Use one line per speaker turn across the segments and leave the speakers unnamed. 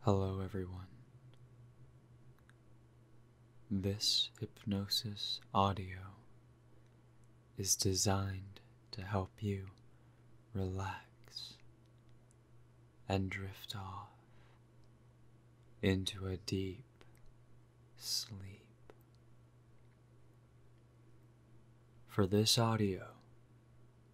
Hello, everyone. This hypnosis audio is designed to help you relax and drift off into a deep sleep. For this audio,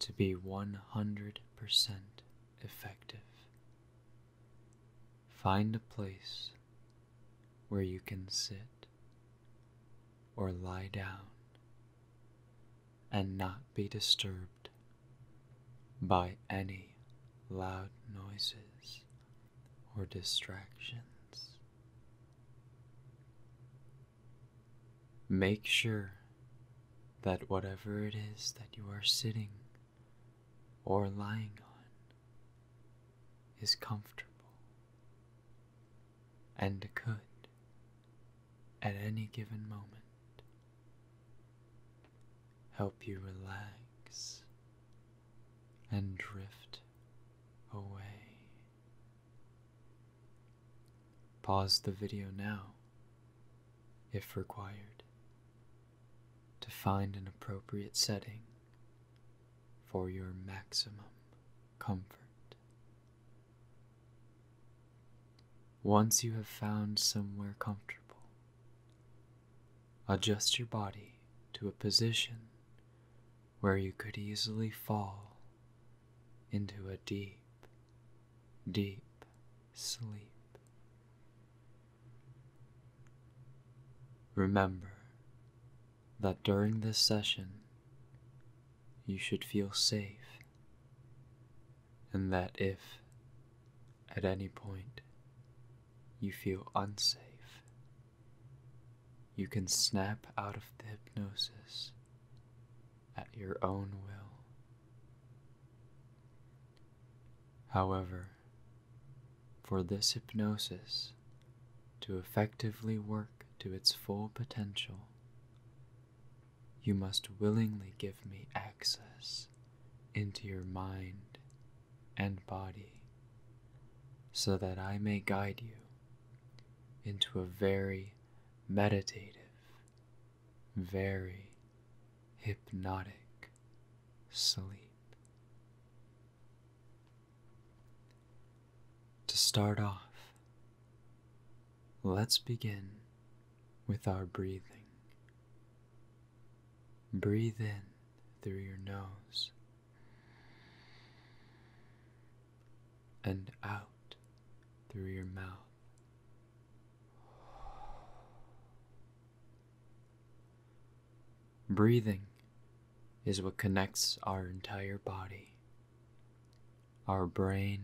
to be 100% effective. Find a place where you can sit or lie down and not be disturbed by any loud noises or distractions. Make sure that whatever it is that you are sitting or lying on is comfortable and could, at any given moment, help you relax and drift away. Pause the video now, if required, to find an appropriate setting for your maximum comfort. Once you have found somewhere comfortable, adjust your body to a position where you could easily fall into a deep, deep sleep. Remember that during this session, you should feel safe, and that if at any point you feel unsafe, you can snap out of the hypnosis at your own will. However, for this hypnosis to effectively work to its full potential, you must willingly give me access into your mind and body so that I may guide you into a very meditative very hypnotic sleep. To start off, let's begin with our breathing. Breathe in through your nose and out through your mouth. Breathing is what connects our entire body, our brain,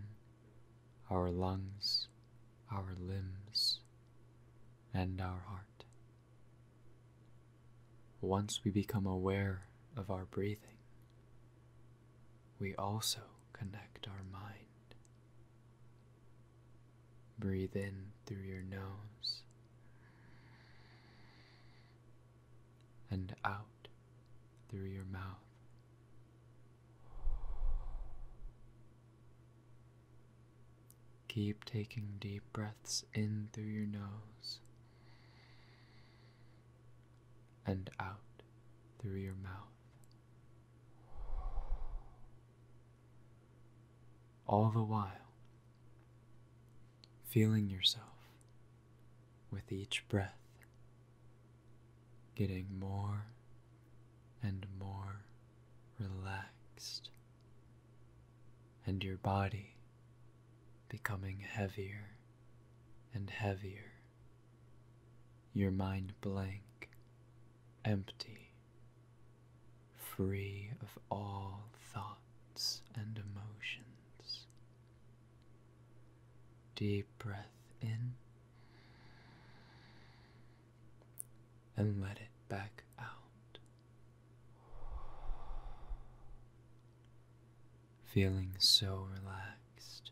our lungs, our limbs, and our heart. Once we become aware of our breathing, we also connect our mind. Breathe in through your nose and out through your mouth. Keep taking deep breaths in through your nose and out through your mouth. All the while, feeling yourself with each breath getting more and more relaxed, and your body becoming heavier and heavier your mind blank, empty, free of all thoughts and emotions. Deep breath in and let it back out feeling so relaxed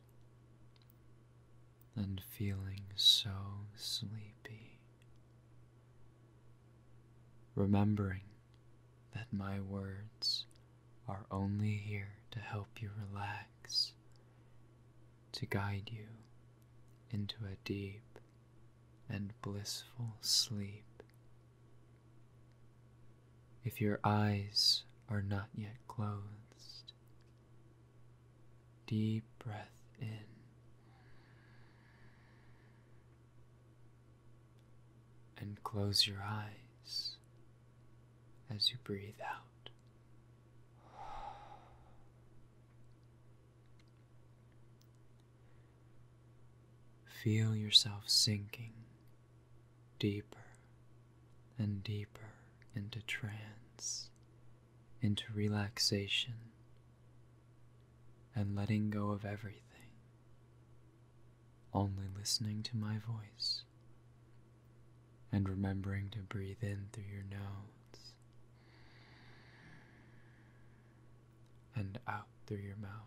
and feeling so sleepy. Remembering that my words are only here to help you relax, to guide you into a deep and blissful sleep. If your eyes are not yet closed, Deep breath in. And close your eyes as you breathe out. Feel yourself sinking deeper and deeper into trance, into relaxation, and letting go of everything, only listening to my voice and remembering to breathe in through your nose and out through your mouth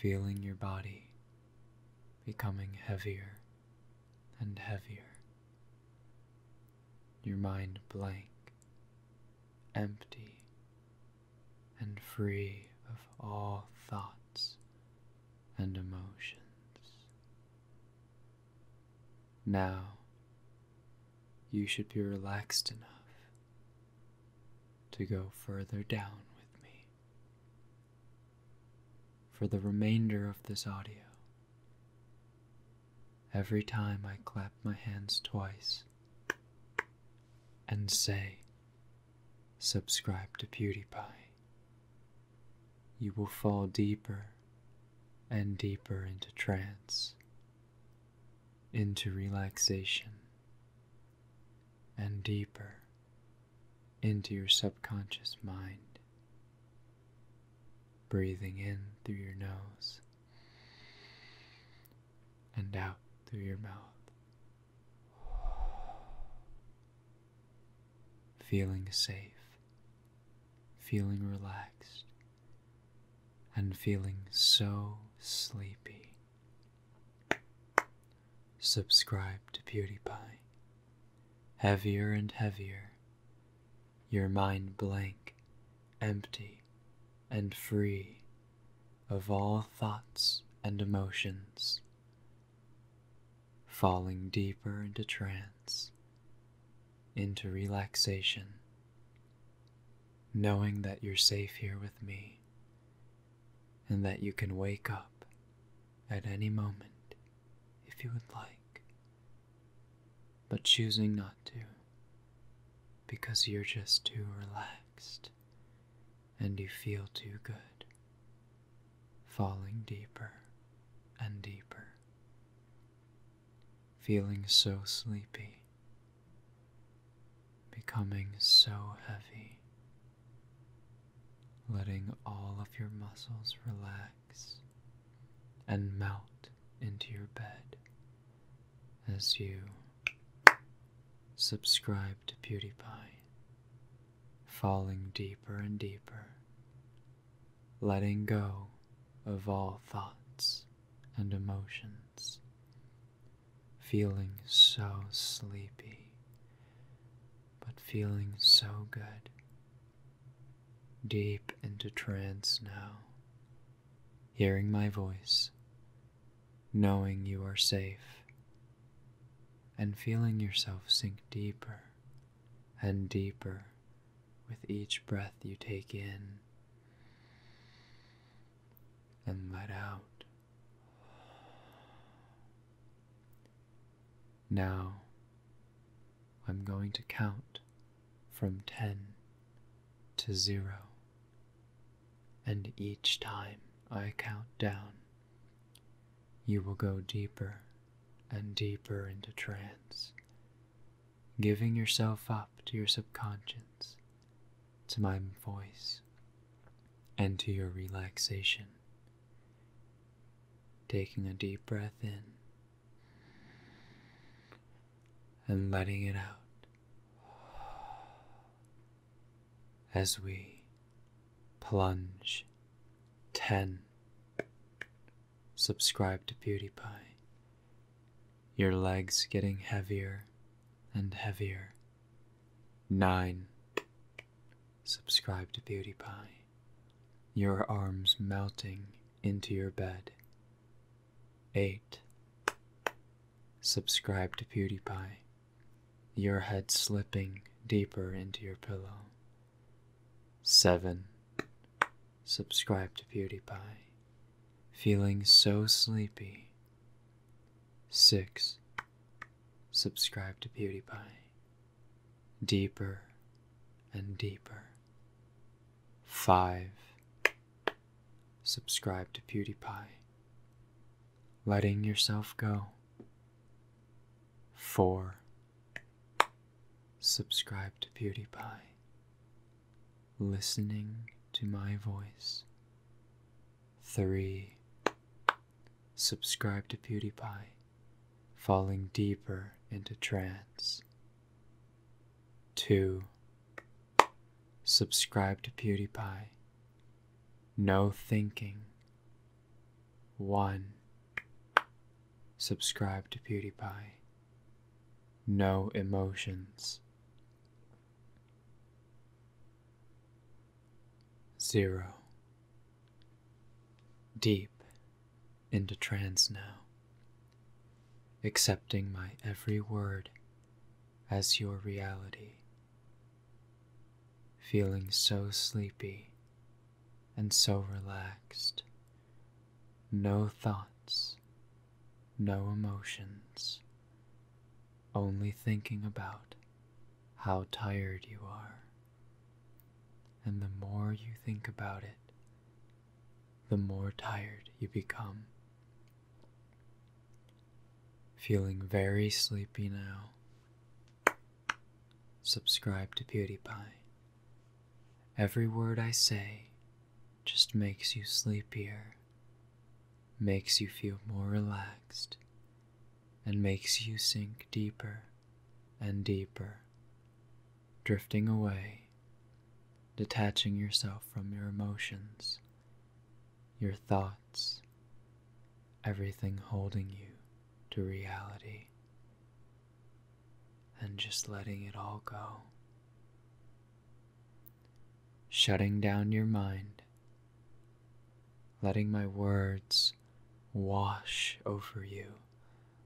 feeling your body becoming heavier and heavier, your mind blank, empty, and free of all thoughts and emotions. Now, you should be relaxed enough to go further down with me. For the remainder of this audio, every time I clap my hands twice and say, Subscribe to PewDiePie, you will fall deeper and deeper into trance, into relaxation and deeper into your subconscious mind. Breathing in through your nose and out through your mouth. Feeling safe, feeling relaxed, and feeling so sleepy Subscribe to PewDiePie. Heavier and heavier, your mind blank, empty, and free of all thoughts and emotions. Falling deeper into trance, into relaxation, knowing that you're safe here with me, and that you can wake up at any moment if you would like, but choosing not to because you're just too relaxed and you feel too good, falling deeper and deeper, feeling so sleepy becoming so heavy, letting all of your muscles relax and melt into your bed as you subscribe to PewDiePie, falling deeper and deeper, letting go of all thoughts and emotions feeling so sleepy, but feeling so good. Deep into trance now, hearing my voice, knowing you are safe, and feeling yourself sink deeper and deeper with each breath you take in and let out. Now I'm going to count from 10 to 0, and each time I count down, you will go deeper and deeper into trance, giving yourself up to your subconscious to my voice and to your relaxation. Taking a deep breath in and letting it out as we plunge 10. Subscribe to PewDiePie. Your legs getting heavier and heavier 9. Subscribe to Beauty Pie, your arms melting into your bed. 8. Subscribe to PewDiePie. your head slipping deeper into your pillow. 7. Subscribe to PewDiePie. feeling so sleepy 6. Subscribe to PewDiePie. Deeper and deeper. 5. Subscribe to PewDiePie. Letting yourself go. 4. Subscribe to PewDiePie. Listening to my voice. 3. Subscribe to PewDiePie, falling deeper into trance. 2. Subscribe to PewDiePie, no thinking. 1. Subscribe to PewDiePie, no emotions. Zero. Deep into trance now, accepting my every word as your reality. Feeling so sleepy and so relaxed. No thoughts, no emotions, only thinking about how tired you are. And the more you think about it, the more tired you become. Feeling very sleepy now. Subscribe to PewDiePie. Every word I say just makes you sleepier makes you feel more relaxed and makes you sink deeper and deeper, drifting away, detaching yourself from your emotions, your thoughts, everything holding you to reality, and just letting it all go. Shutting down your mind letting my words wash over you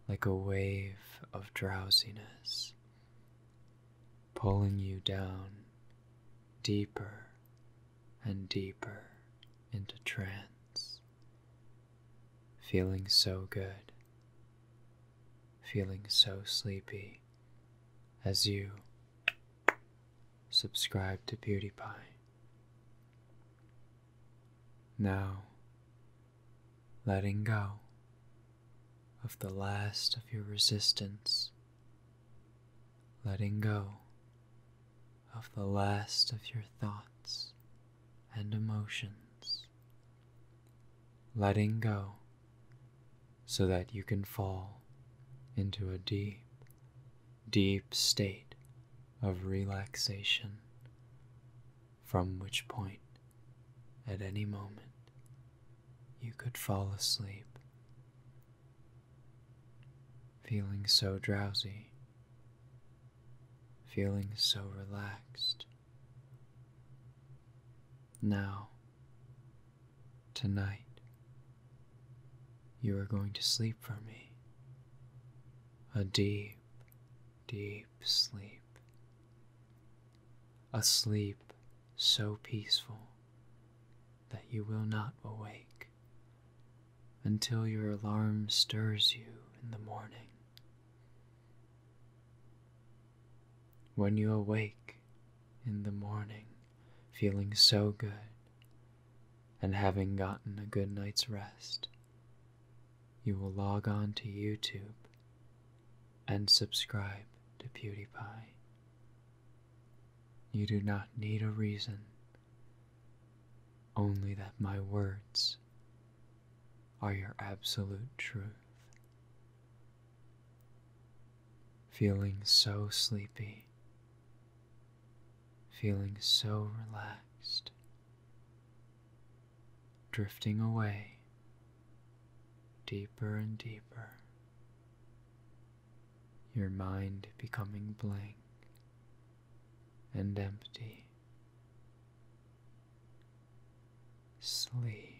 like a wave of drowsiness, pulling you down deeper and deeper into trance, feeling so good, feeling so sleepy as you subscribe to PewDiePie. Now, letting go of the last of your resistance, letting go of the last of your thoughts and emotions, letting go so that you can fall into a deep deep state of relaxation, from which point, at any moment, you could fall asleep. Feeling so drowsy, feeling so relaxed. Now, Tonight, you are going to sleep for me. A deep, deep sleep. A sleep so peaceful that you will not awake until your alarm stirs you in the morning. When you awake in the morning, feeling so good and having gotten a good night's rest, you will log on to YouTube and subscribe to PewDiePie. You do not need a reason, only that my words are your absolute truth. Feeling so sleepy feeling so relaxed, drifting away deeper and deeper, your mind becoming blank and empty. Sleep.